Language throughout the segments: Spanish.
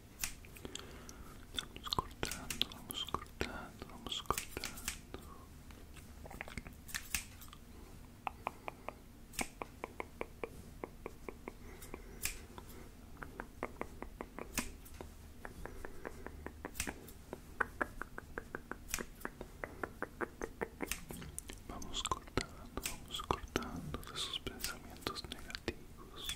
Vamos cortando, vamos cortando, vamos cortando. Vamos cortando, vamos cortando de sus pensamientos negativos.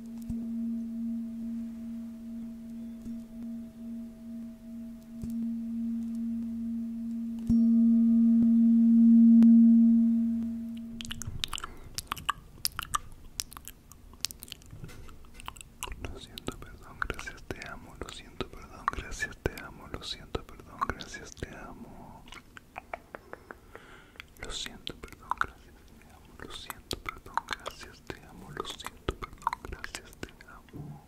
Lo siento, perdón, gracias, te amo. Lo siento, perdón, gracias, te amo. Lo siento, perdón, gracias, te amo. Lo siento, perdón, gracias, te amo. Lo siento, perdón, gracias, te amo. Lo siento, perdón, gracias, te amo.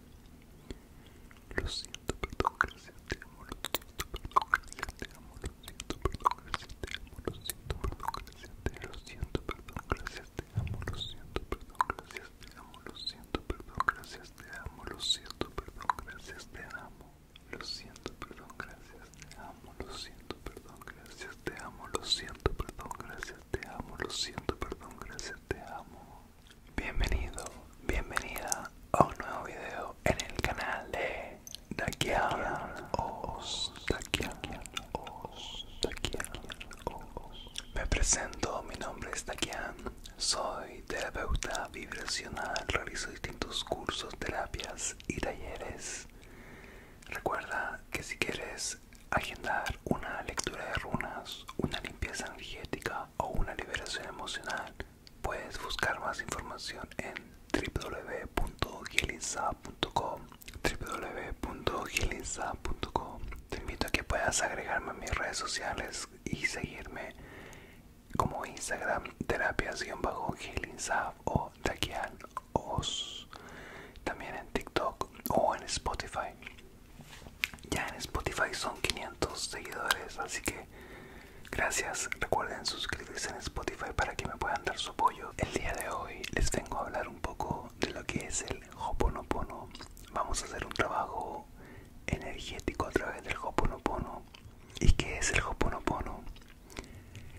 Lo siento, perdón, gracias, te amo. Lo siento, perdón, gracias, te amo. Lo siento, perdón, gracias, te amo. Lo siento, perdón, gracias, te amo. Lo siento, perdón, gracias, te amo. Lo siento, perdón, gracias, te amo. Lo siento, perdón, gracias, te amo. Lo siento, perdón, gracias, te amo. Lo siento, perdón, gracias, te amo lo siento, perdón, gracias, te amo, lo siento, perdón, gracias, te amo, lo siento, perdón, gracias, te amo. Bienvenido, bienvenida a un nuevo video en el canal de Dakian Os, Me presento, mi nombre es Dakian, soy terapeuta vibracional, realizo distintos cursos, terapias y talleres. Recuerda que si quieres agendar una lectura de runas, una limpieza energética o una liberación emocional, puedes buscar más información en www.gilinsa.com Te invito a que puedas agregarme a mis redes sociales y seguirme como Instagram terapia gilinsa o Dakian os también en TikTok o en Spotify. Ya en Spotify son 500 seguidores, así que gracias. Recuerden suscribirse en Spotify para que me puedan dar su apoyo. El día de hoy les vengo a hablar un poco de lo que es el Hoponopono. Vamos a hacer un trabajo energético a través del Hoponopono. ¿Y qué es el Hoponopono?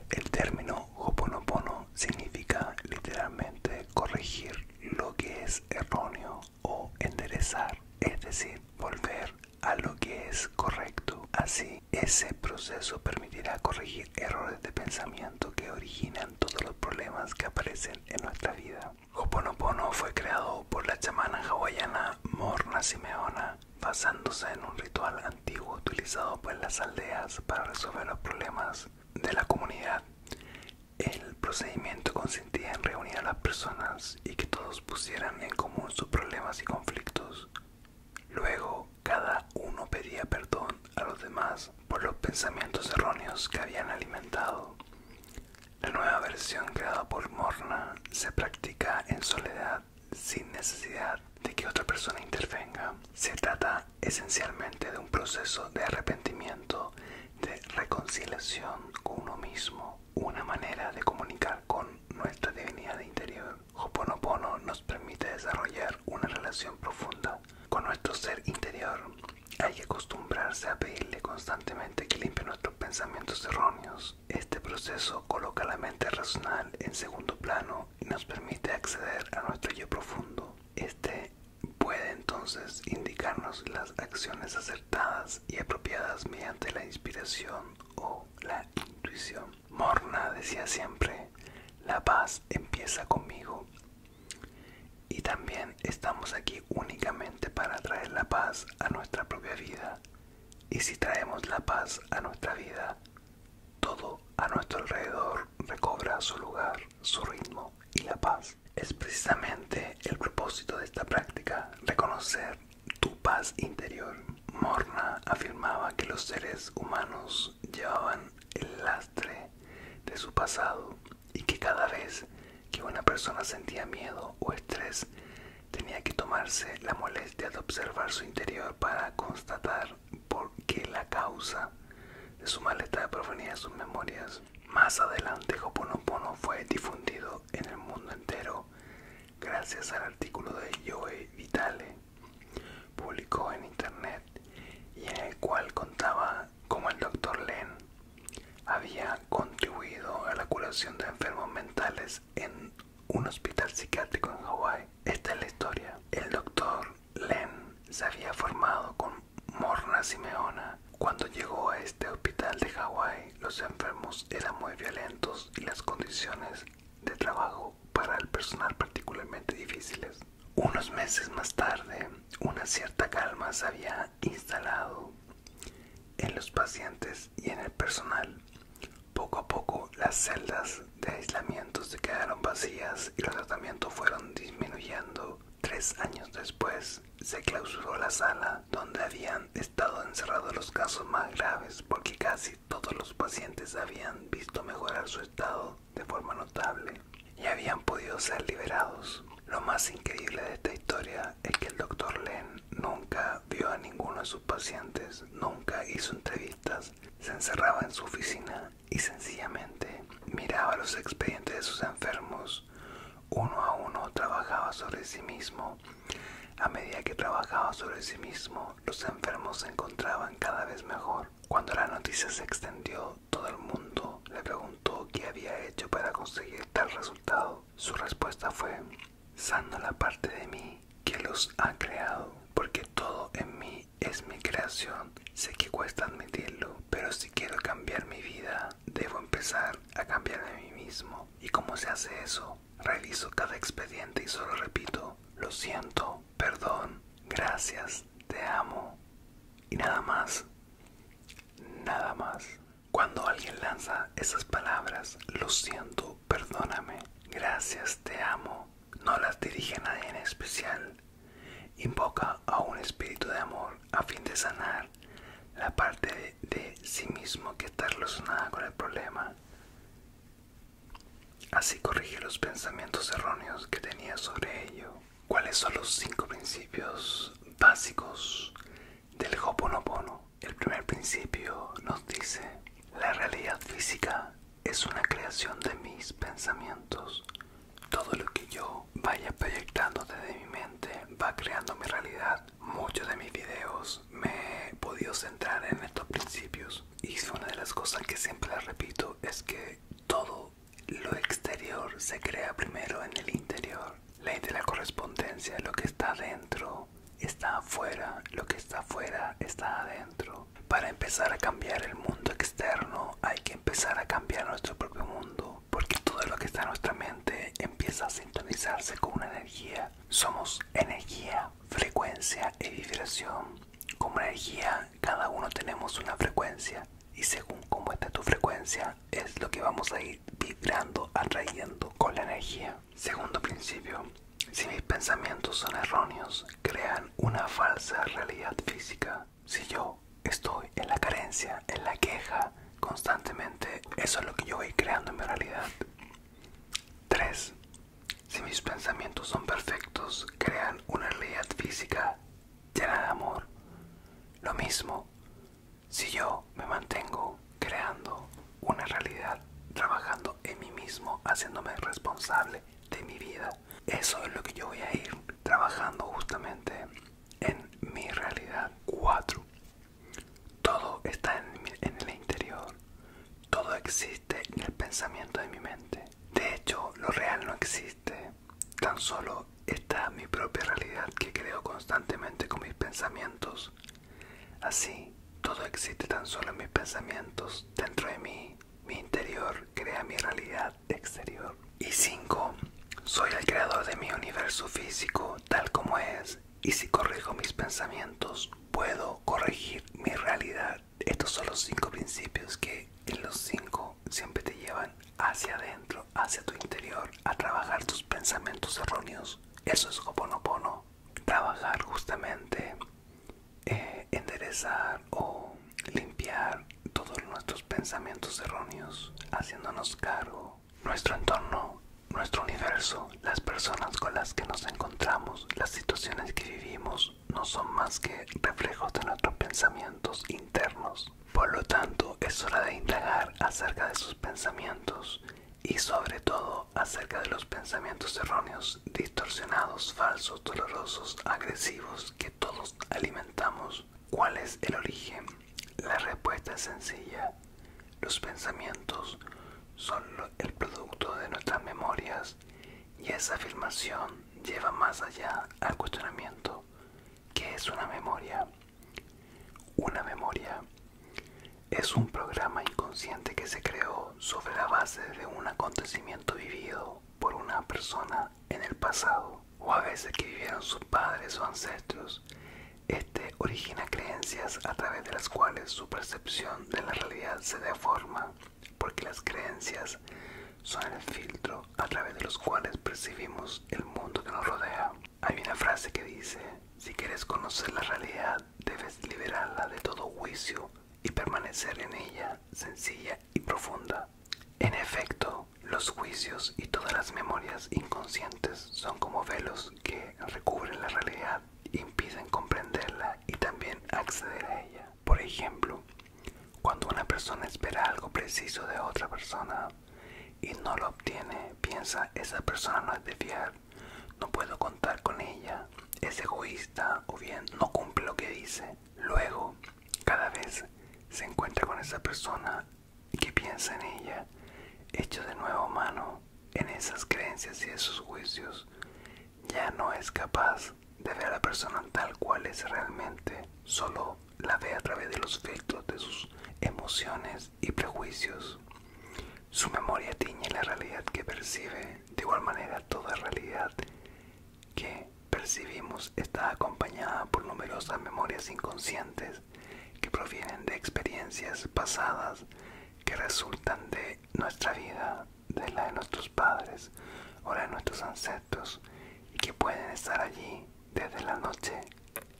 El término Hoponopono significa literalmente corregir lo que es erróneo o enderezar, es decir, volver a lo que es correcto. Así, ese proceso permitirá corregir errores de pensamiento que originan todos los problemas que aparecen en nuestra vida. Hoponopono fue creado por la chamana hawaiana Morna Simeona basándose en un ritual antiguo utilizado por las aldeas para resolver los problemas de la comunidad. El procedimiento consistía en reunir a las personas y que todos pusieran en común sus problemas y conflictos. Luego, cada uno pedía perdón a los demás por los pensamientos erróneos que habían alimentado. La nueva versión creada por Morna se practica en soledad sin necesidad de que otra persona intervenga. Se trata esencialmente de un proceso de arrepentimiento, de reconciliación con uno mismo, una manera de comunicar con nuestra divinidad interior. Hoponopono nos permite desarrollar una relación profunda con nuestro ser interior. Hay que acostumbrarse a pedirle constantemente que limpie nuestros pensamientos erróneos. Este proceso coloca la mente racional en segundo plano nos permite acceder a nuestro yo profundo. Este puede entonces indicarnos las acciones acertadas y apropiadas mediante la inspiración o la intuición. Morna decía siempre, la paz empieza conmigo. Y también estamos aquí únicamente para traer la paz a nuestra propia vida. Y si traemos la paz a nuestra vida, todo a nuestro alrededor recobra su lugar, su ritmo y la paz. Es precisamente el propósito de esta práctica, reconocer tu paz interior. Morna afirmaba que los seres humanos llevaban el lastre de su pasado y que cada vez que una persona sentía miedo o estrés tenía que tomarse la molestia de observar su interior para constatar porque la causa de su malestar provenía de sus memorias. Más adelante, Hoponopono fue difundido en el mundo entero gracias al artículo de Joe Vitale, publicó en internet y en el cual contaba como el doctor Len había contribuido a la curación de enfermos mentales en un hospital psiquiátrico en Hawái. Esta es la historia. El doctor Len se había formado con Morna Simeona. Cuando llegó a este hospital de Hawái, los enfermos eran muy violentos y las condiciones de trabajo para el personal particularmente difíciles. Unos meses más tarde, una cierta calma se había instalado en los pacientes y en el personal. Poco a poco las celdas de aislamiento se quedaron vacías y los tratamientos fueron disminuyendo. Tres años después se clausuró la sala donde habían estado encerrados los casos más graves porque casi todos los pacientes habían visto mejorar su estado de forma notable y habían podido ser liberados. Lo más increíble de esta historia es que el doctor Len nunca vio a ninguno de sus pacientes, nunca hizo entrevistas, se encerraba en su oficina y sencillamente miraba los expedientes de sus enfermos. Uno a uno trabajaba sobre sí mismo. A medida que trabajaba sobre sí mismo, los enfermos se encontraban cada vez mejor. Cuando la noticia se extendió, todo el mundo le preguntó qué había hecho para conseguir tal resultado. Su respuesta fue, Sando la parte de mí que los ha creado, porque todo en mí es mi creación. Sé que cuesta admitirlo, pero si quiero cambiar mi vida, debo empezar a cambiar de mí mismo. ¿Y cómo se hace eso? Reviso cada expediente y solo repito, lo siento, perdón, gracias, te amo. Y nada más, nada más. Cuando alguien lanza esas palabras, lo siento perdóname. Gracias, te amo. No las dirige a nadie en especial. Invoca a un espíritu de amor a fin de sanar la parte de, sí mismo que está relacionada con el problema. Así corrige los pensamientos erróneos que tenía sobre ello. ¿Cuáles son los cinco principios básicos del Hoponopono? El primer principio nos dice, la realidad física es una creación de mis pensamientos. Todo lo que yo vaya proyectando desde mi mente va creando mi realidad. Muchos de mis videos me he podido centrar en estos principios. Y una de las cosas que siempre les repito es que todo lo exterior se crea primero en el interior. Ley de la correspondencia, es lo que está dentro está afuera, lo que está afuera está adentro. Para empezar a cambiar el mundo externo hay que empezar a cambiar nuestro propio mundo, porque todo lo que está en nuestra mente empieza a sintonizarse con una energía. Somos energía, frecuencia y vibración. Como energía, cada uno tenemos una frecuencia y según cómo está tu frecuencia es lo que vamos a ir vibrando, atrayendo con la energía. Segundo principio, si mis pensamientos son erróneos, crean una falsa realidad física. Si yo estoy en la carencia, en la queja, constantemente, eso es lo que yo voy creando en mi realidad. 3. Si mis pensamientos son perfectos, crean una realidad física llena de amor. Lo mismo, si yo me mantengo creando una realidad, trabajando en mí mismo, haciéndome responsable de mi vida. Eso es lo que yo voy a ir trabajando justamente en mi realidad 4. Todo está en, en el interior, todo existe en el pensamiento de mi mente. De hecho, lo real no existe, tan solo está mi propia realidad que creo constantemente con mis pensamientos Así, todo existe tan solo en mis pensamientos, dentro de mí, mi interior crea mi realidad exterior. Y cinco, Soy el creador de mi universo físico tal como es, y si corrijo mis pensamientos, puedo corregir mi realidad. Estos son los cinco principios que en los cinco siempre te llevan hacia adentro, hacia tu interior, a trabajar tus pensamientos erróneos. Eso es Hoponopono trabajar justamente eh, enderezar o limpiar todos nuestros pensamientos erróneos haciéndonos cargo nuestro entorno nuestro universo las personas con las que nos encontramos las situaciones que vivimos no son más que reflejos de nuestros pensamientos internos por lo tanto es hora de indagar acerca de sus pensamientos y sobre todo acerca de los pensamientos erróneos, distorsionados, falsos, dolorosos, agresivos que todos alimentamos. ¿Cuál es el origen? La respuesta es sencilla. Los pensamientos son el producto de nuestras memorias y esa afirmación lleva más allá al cuestionamiento. ¿Qué es una memoria? Una memoria es un programa inconsciente que se creó sobre la base de un acontecimiento vivido por una persona en el pasado o a veces que vivieron sus padres o ancestros. Este origina creencias a través de las cuales su percepción de la realidad se deforma, porque las creencias son el filtro a través de los cuales percibimos el mundo que nos rodea. Hay una frase que dice, si quieres conocer la realidad, debes liberarla de todo juicio y permanecer en ella sencilla y profunda. En efecto, los juicios y todas las memorias inconscientes son como velos que recubren la realidad, impiden comprenderla y también acceder a ella. Por ejemplo, cuando una persona espera algo preciso de otra persona y no lo obtiene, piensa esa persona no es de fiar no puedo contar con ella, es egoísta o bien no cumple lo que dice. Luego, cada vez se encuentra con esa persona que piensa en ella, hecho de nuevo mano en esas creencias y esos juicios, ya no es capaz de ver a la persona tal cual es realmente, solo la ve a través de los filtros de sus emociones y prejuicios. Su memoria tiñe la realidad que percibe, de igual manera toda realidad que percibimos está acompañada por numerosas memorias inconscientes que provienen de experiencias pasadas que resultan de nuestra vida, de la de nuestros padres o de nuestros ancestros y que pueden estar allí desde la noche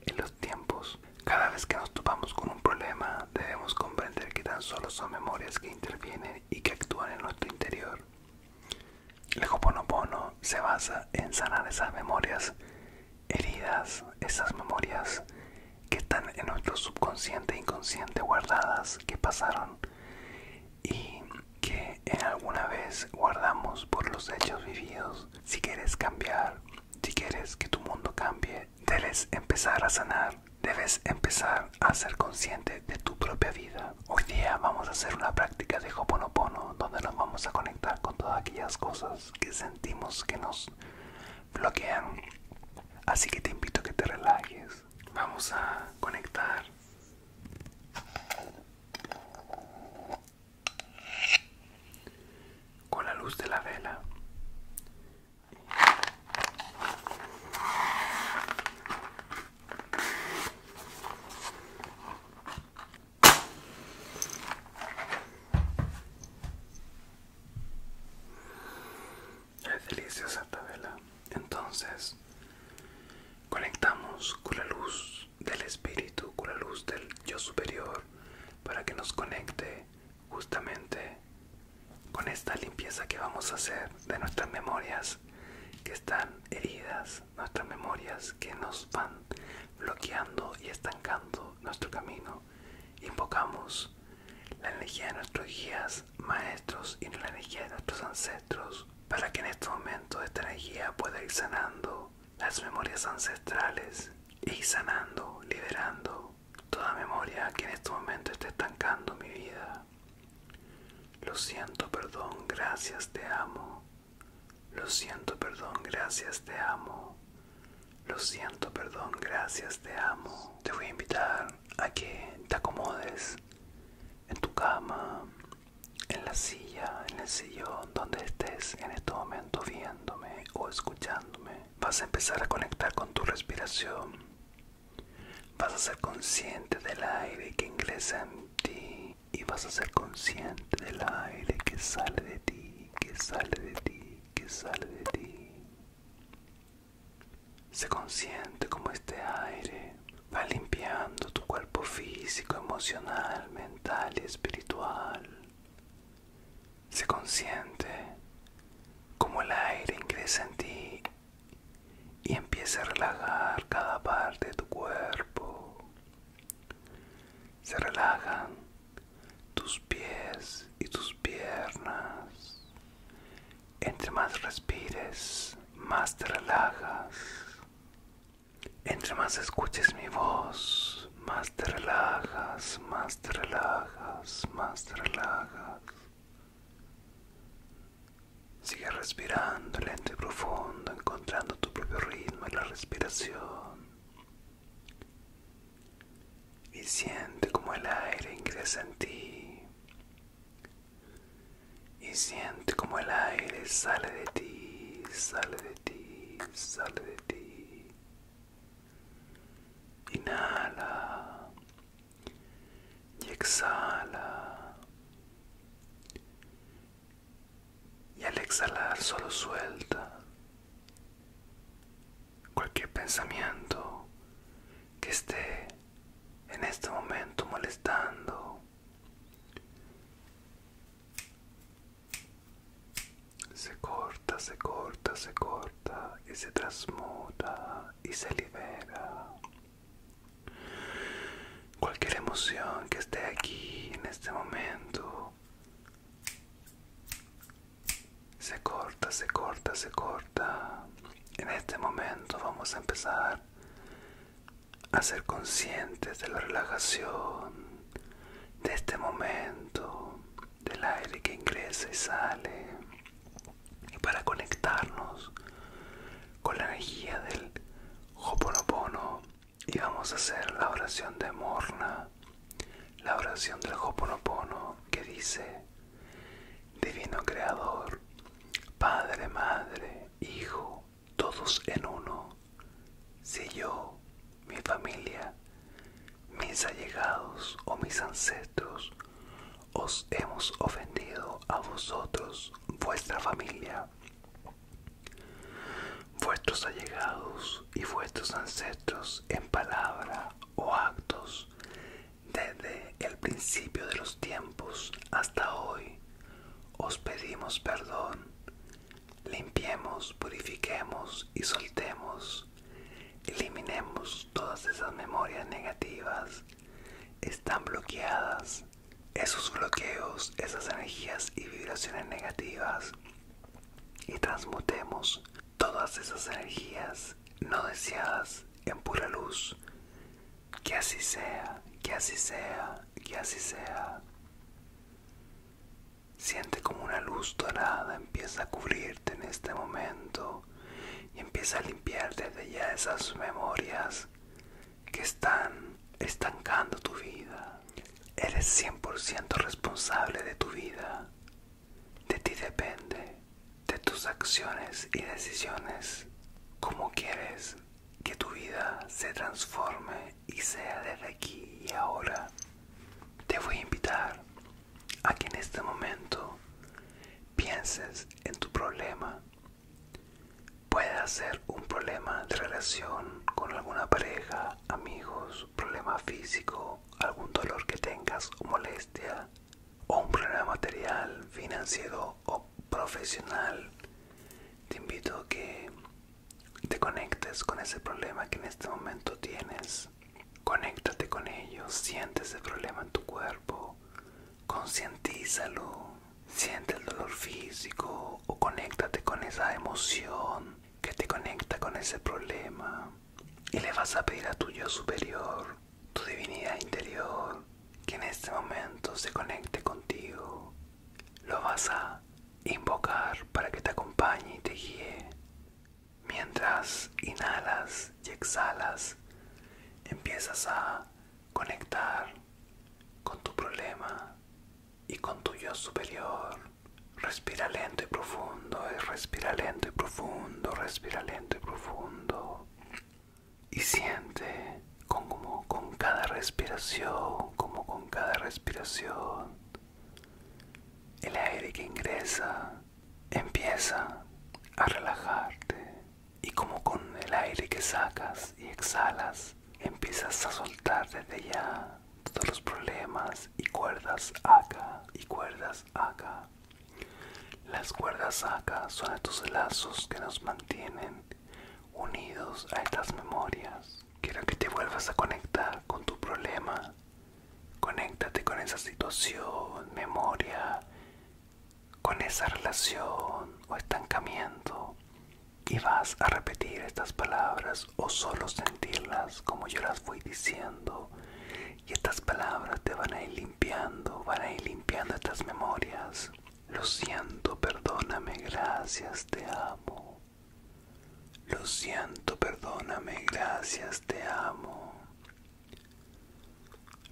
en los tiempos. Cada vez que nos topamos con un problema, debemos comprender que tan solo son memorias que intervienen y que actúan en nuestro interior. El se basa en sanar esas memorias heridas, esas memorias que están en nuestro subconsciente e inconsciente guardadas, que pasaron y que en alguna vez guardamos por los hechos vividos. Si quieres cambiar, si quieres que tu mundo cambie, debes empezar a sanar, debes empezar a ser consciente de tu propia vida. Hoy día vamos a hacer una práctica de Hoponopono donde nos vamos a conectar con todas aquellas cosas que sentimos que nos bloquean. Así que te invito a que te relajes. Vamos a conectar con la luz de la vela. Es deliciosa esta vela. Entonces, conectamos con la luz del espíritu, con la luz del yo superior, para que nos conecte justamente con esta limpieza que vamos a hacer de nuestras memorias que están heridas, nuestras memorias que nos van bloqueando y estancando nuestro camino. Invocamos la energía de nuestros guías, maestros y la energía de nuestros ancestros para que en este momento esta energía pueda ir sanando las memorias ancestrales y sanando, liberando toda memoria que en este momento está estancando mi vida. Lo siento, perdón, gracias, te amo. Lo siento, perdón, gracias, te amo. Lo siento, perdón, gracias, te amo. Te voy a invitar a que te acomodes en tu cama, en la silla, en el sillón, donde estés en este momento viéndome o escuchándome. Vas a empezar a conectar con tu respiración. Vas a ser consciente del aire que ingresa en ti y vas a ser consciente del aire que sale de ti, que sale de ti, que sale de ti. Sé consciente como este aire va limpiando tu cuerpo físico, emocional, mental y espiritual. Se consiente como el aire ingresa en ti y empieza a relajar cada parte de tu cuerpo. Se relajan tus pies y tus piernas. Entre más respires, más te relajas. Entre más escuches mi voz, más te relajas, más te relajas, más te relajas. Sigue respirando lento y profundo, encontrando tu propio ritmo en la respiración. Y siente como el aire ingresa en ti. Y siente como el aire sale de ti, sale de ti, sale de ti. Inhala y exhala. Y al exhalar solo suelta cualquier pensamiento que esté en este momento molestando se corta, se corta, se corta y se transmuta y se libera. Cualquier emoción que esté aquí en este momento se corta, se corta, se corta. En este momento vamos a empezar a ser conscientes de la relajación de este momento del aire que ingresa y sale y para conectarnos con la energía del Hoponopono y vamos a hacer la oración de Morna la oración del Hoponopono que dice Divino Creador Padre, Madre, Hijo, todos en uno si yo, mi familia, mis allegados o mis ancestros os hemos ofendido a vosotros, vuestra familia, vuestros allegados y vuestros ancestros en palabra o actos, desde el principio de los tiempos hasta hoy, os pedimos perdón Limpiemos, purifiquemos y soltemos. Eliminemos todas esas memorias negativas. Están bloqueadas. Esos bloqueos, esas energías y vibraciones negativas. Y transmutemos todas esas energías no deseadas en pura luz. Que así sea, que así sea, que así sea. Siente como una luz dorada empieza a cubrirte en este momento y empieza a limpiarte de ya esas memorias que están estancando tu vida. Eres 100% responsable de tu vida. De ti depende, de tus acciones y decisiones, cómo quieres que tu vida se transforme y sea desde aquí y ahora. Te voy a invitar a que en este momento pienses en tu problema. Puede ser un problema de relación con alguna pareja, amigos, problema físico, algún dolor que tengas o molestia, o un problema material, financiero o profesional. Te invito a que te conectes con ese problema que en este momento tienes. Conéctate con ello, siente ese problema en tu cuerpo, concientízalo, siente el dolor físico o conéctate con esa emoción que te conecta con ese problema y le vas a pedir a tu yo superior, tu divinidad interior, que en este momento se conecte contigo lo vas a invocar para que te acompañe y te guíe. Mientras inhalas y exhalas, empiezas a conectar con tu problema y con tu yo superior. Respira lento y profundo, respira lento y profundo, respira lento y profundo. Y siente como con cada respiración, como con cada respiración el aire que ingresa empieza a relajarte y como con el aire que sacas y exhalas, empiezas a soltar desde ya todos los problemas y cuerdas acá y cuerdas acá. Las cuerdas acá son estos lazos que nos mantienen unidos a estas memorias. Quiero que te vuelvas a conectar con tu problema. Conéctate con esa situación, memoria, con esa relación o estancamiento. Y vas a repetir estas palabras o solo sentirlas como yo las fui diciendo. Y estas palabras te van a ir limpiando, van a ir limpiando estas memorias. Lo siento, perdóname, gracias, te amo. Lo siento, perdóname, gracias, te amo.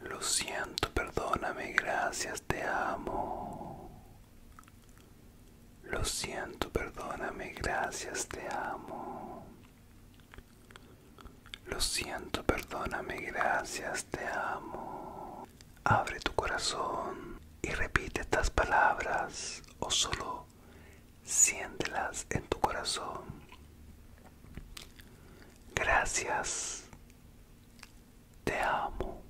Lo siento, perdóname, gracias, te amo. Lo siento, perdóname, gracias, te amo. Lo siento, perdóname, gracias, te amo. Abre tu corazón y repite estas palabras o solo siéntelas en tu corazón. Gracias. Te amo.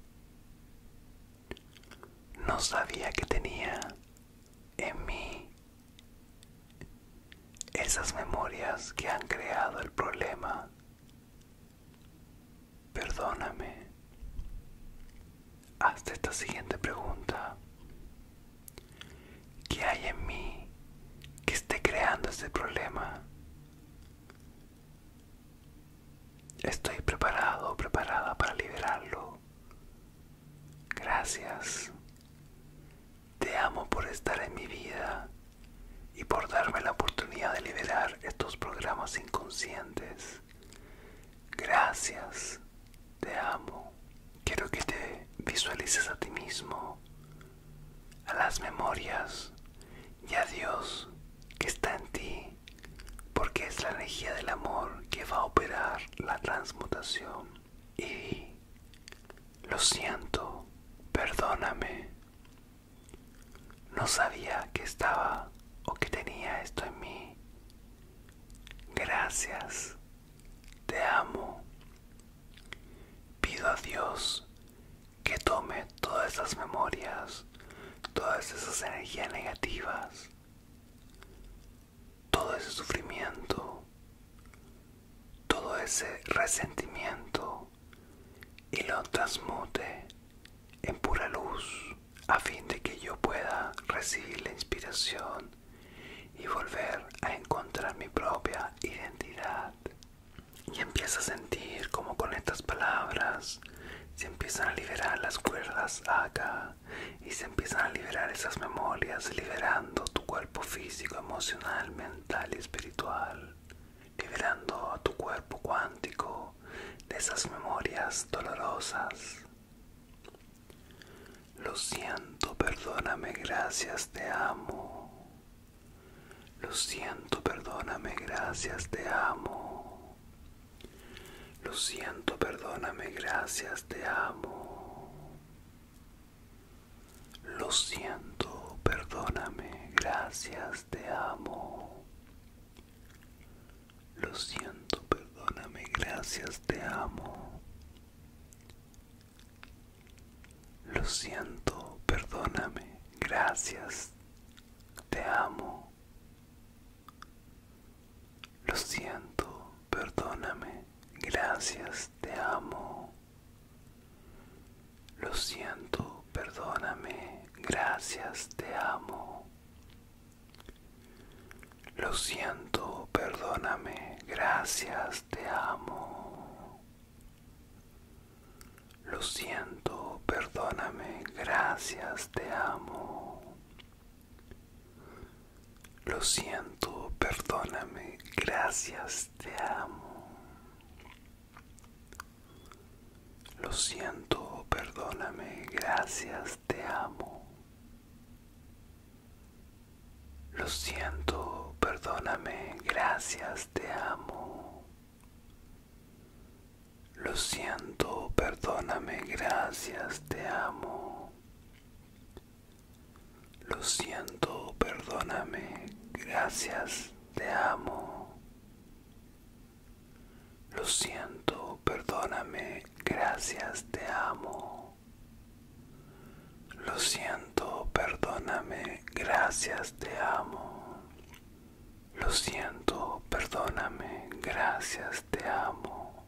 No sabía que tenía en mí esas memorias que han creado el problema. Perdóname. hazte esta siguiente pregunta. ¿Qué hay en mí que esté creando este problema? Estoy preparado, preparada para liberarlo. Gracias. Te amo por estar en mi vida y por darme la oportunidad de liberar estos programas inconscientes Gracias, te amo. Quiero que te visualices a ti mismo, a las memorias y a Dios que está en ti, porque es la energía del amor que va a operar la transmutación. Y lo siento, perdóname. No sabía que estaba o que tenía esto en mí. Gracias, te amo. Pido a Dios que tome todas esas memorias, todas esas energías negativas, todo ese sufrimiento, todo ese resentimiento y lo transmute en pura luz a fin de que yo pueda recibir la inspiración y volver a encontrar mi propia identidad. Y empieza a sentir como con estas palabras se empiezan a liberar las cuerdas acá y se empiezan a liberar esas memorias, liberando tu cuerpo físico, emocional, mental y espiritual, liberando a tu cuerpo cuántico de esas memorias dolorosas. Lo siento, perdóname, gracias, te amo. Lo siento, perdóname, gracias, te amo. Lo siento, perdóname, gracias, te amo. Lo siento, perdóname, gracias, te amo. Lo siento, perdóname, gracias, te amo. Lo siento, perdóname, gracias, te amo. Lo siento, perdóname, gracias, te amo. Lo siento, perdóname, gracias, te amo. Lo siento, perdóname, gracias, te amo. Lo siento, perdóname, gracias, te amo. Lo siento, perdóname, gracias, te amo. Lo siento, perdóname, gracias, te amo. Lo siento, perdóname, gracias, te amo. Lo siento, perdóname, gracias, te amo. Lo siento, perdóname, gracias, te amo. Lo siento, perdóname, gracias, te amo. Lo siento, perdóname, gracias, te amo. Lo siento, perdóname, gracias, te amo.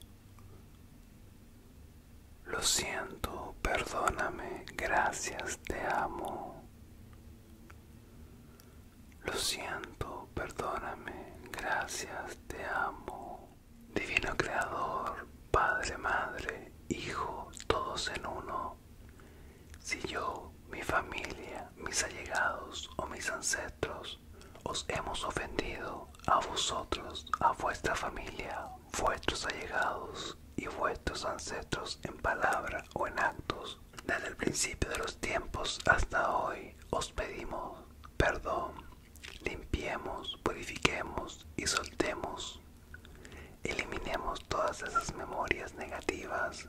Lo siento, perdóname, gracias, te amo. Lo siento, perdóname, gracias, te amo. Divino Creador, Padre, Madre, Hijo, todos en uno. Si yo, mi familia, mis allegados o mis ancestros os hemos ofendido a vosotros, a vuestra familia, vuestros allegados y vuestros ancestros en palabra o en actos, desde el principio de los tiempos hasta hoy os pedimos perdón, limpiemos, purifiquemos y soltemos. Eliminemos todas esas memorias negativas,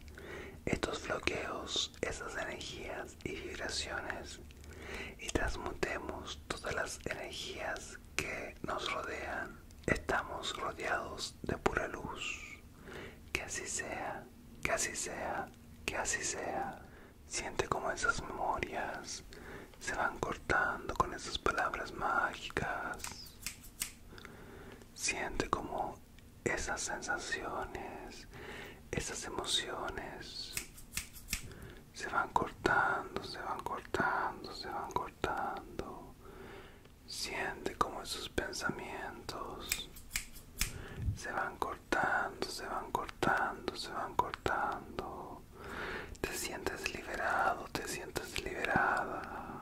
estos bloqueos, esas energías y vibraciones y transmutemos todas las energías que nos rodean. Estamos rodeados de pura luz. Que así sea que así sea, que así sea. Siente como esas memorias se van cortando con esas palabras mágicas. Siente como esas sensaciones, esas emociones se van cortando, se van cortando, se van cortando. Siente como esos pensamientos se van cortando, se van cortando, se van cortando. Te sientes liberado, te sientes liberada.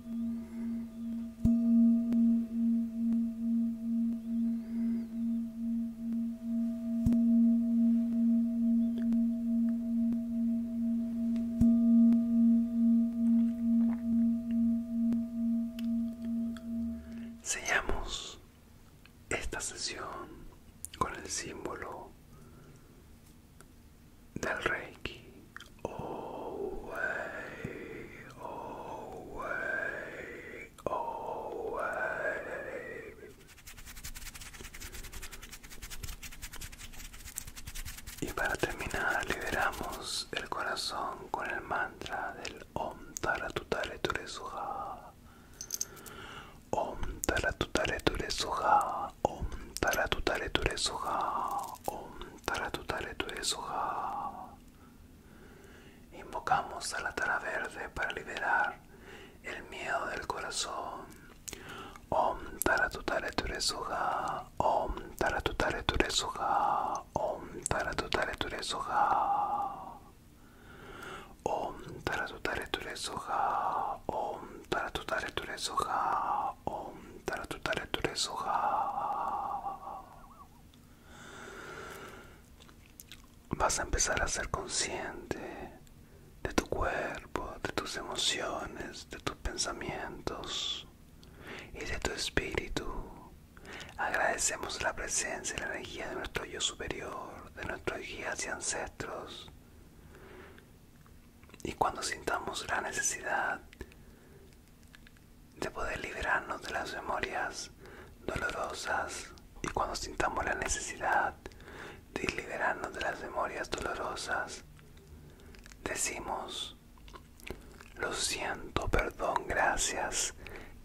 Sellamos esta sesión con el símbolo del Reiki. Y para terminar liberamos el corazón con el mantra del Om Taratutare Ture Suha. Om Taratutare Ture Om taratutare ture Om taratutare ture soja. Invocamos a la tara verde para liberar el miedo del corazón. Om taratutare ture Om taratutare ture soja. Om taratutare ture soja. Om taratutare ture soja. Om taratutare ture Vas a empezar a ser consciente de tu cuerpo, de tus emociones, de tus pensamientos y de tu espíritu. Agradecemos la presencia y la energía de nuestro yo superior, de nuestros guías y ancestros y cuando sintamos la necesidad de poder liberarnos de las memorias dolorosas y cuando sintamos la necesidad de liberarnos de las memorias dolorosas, decimos, lo siento, perdón, gracias,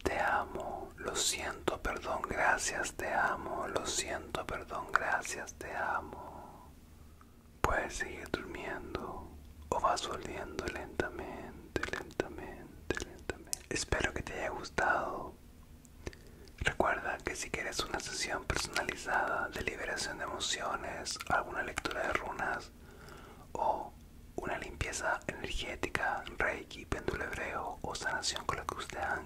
te amo, lo siento, perdón, gracias, te amo, lo siento, perdón, gracias, te amo. Puedes seguir durmiendo o vas volviendo lentamente, lentamente, lentamente. Espero que te haya gustado. Recuerda que si quieres una sesión personalizada de liberación de emociones, alguna lectura de runas o una limpieza energética, reiki, péndulo hebreo o sanación con la cruz de haga,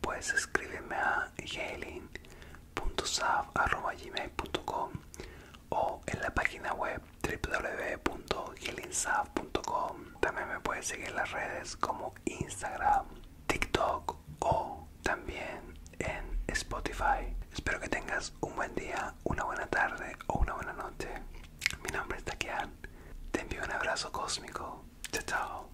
puedes escríbeme a .gmail.com o en la página web www.healingsaf.com También me puedes seguir en las redes como Instagram, TikTok o también en Spotify. Espero que tengas un buen día, una buena tarde o una buena noche. Mi nombre es Taquian Te envío un abrazo cósmico. Chao, chao.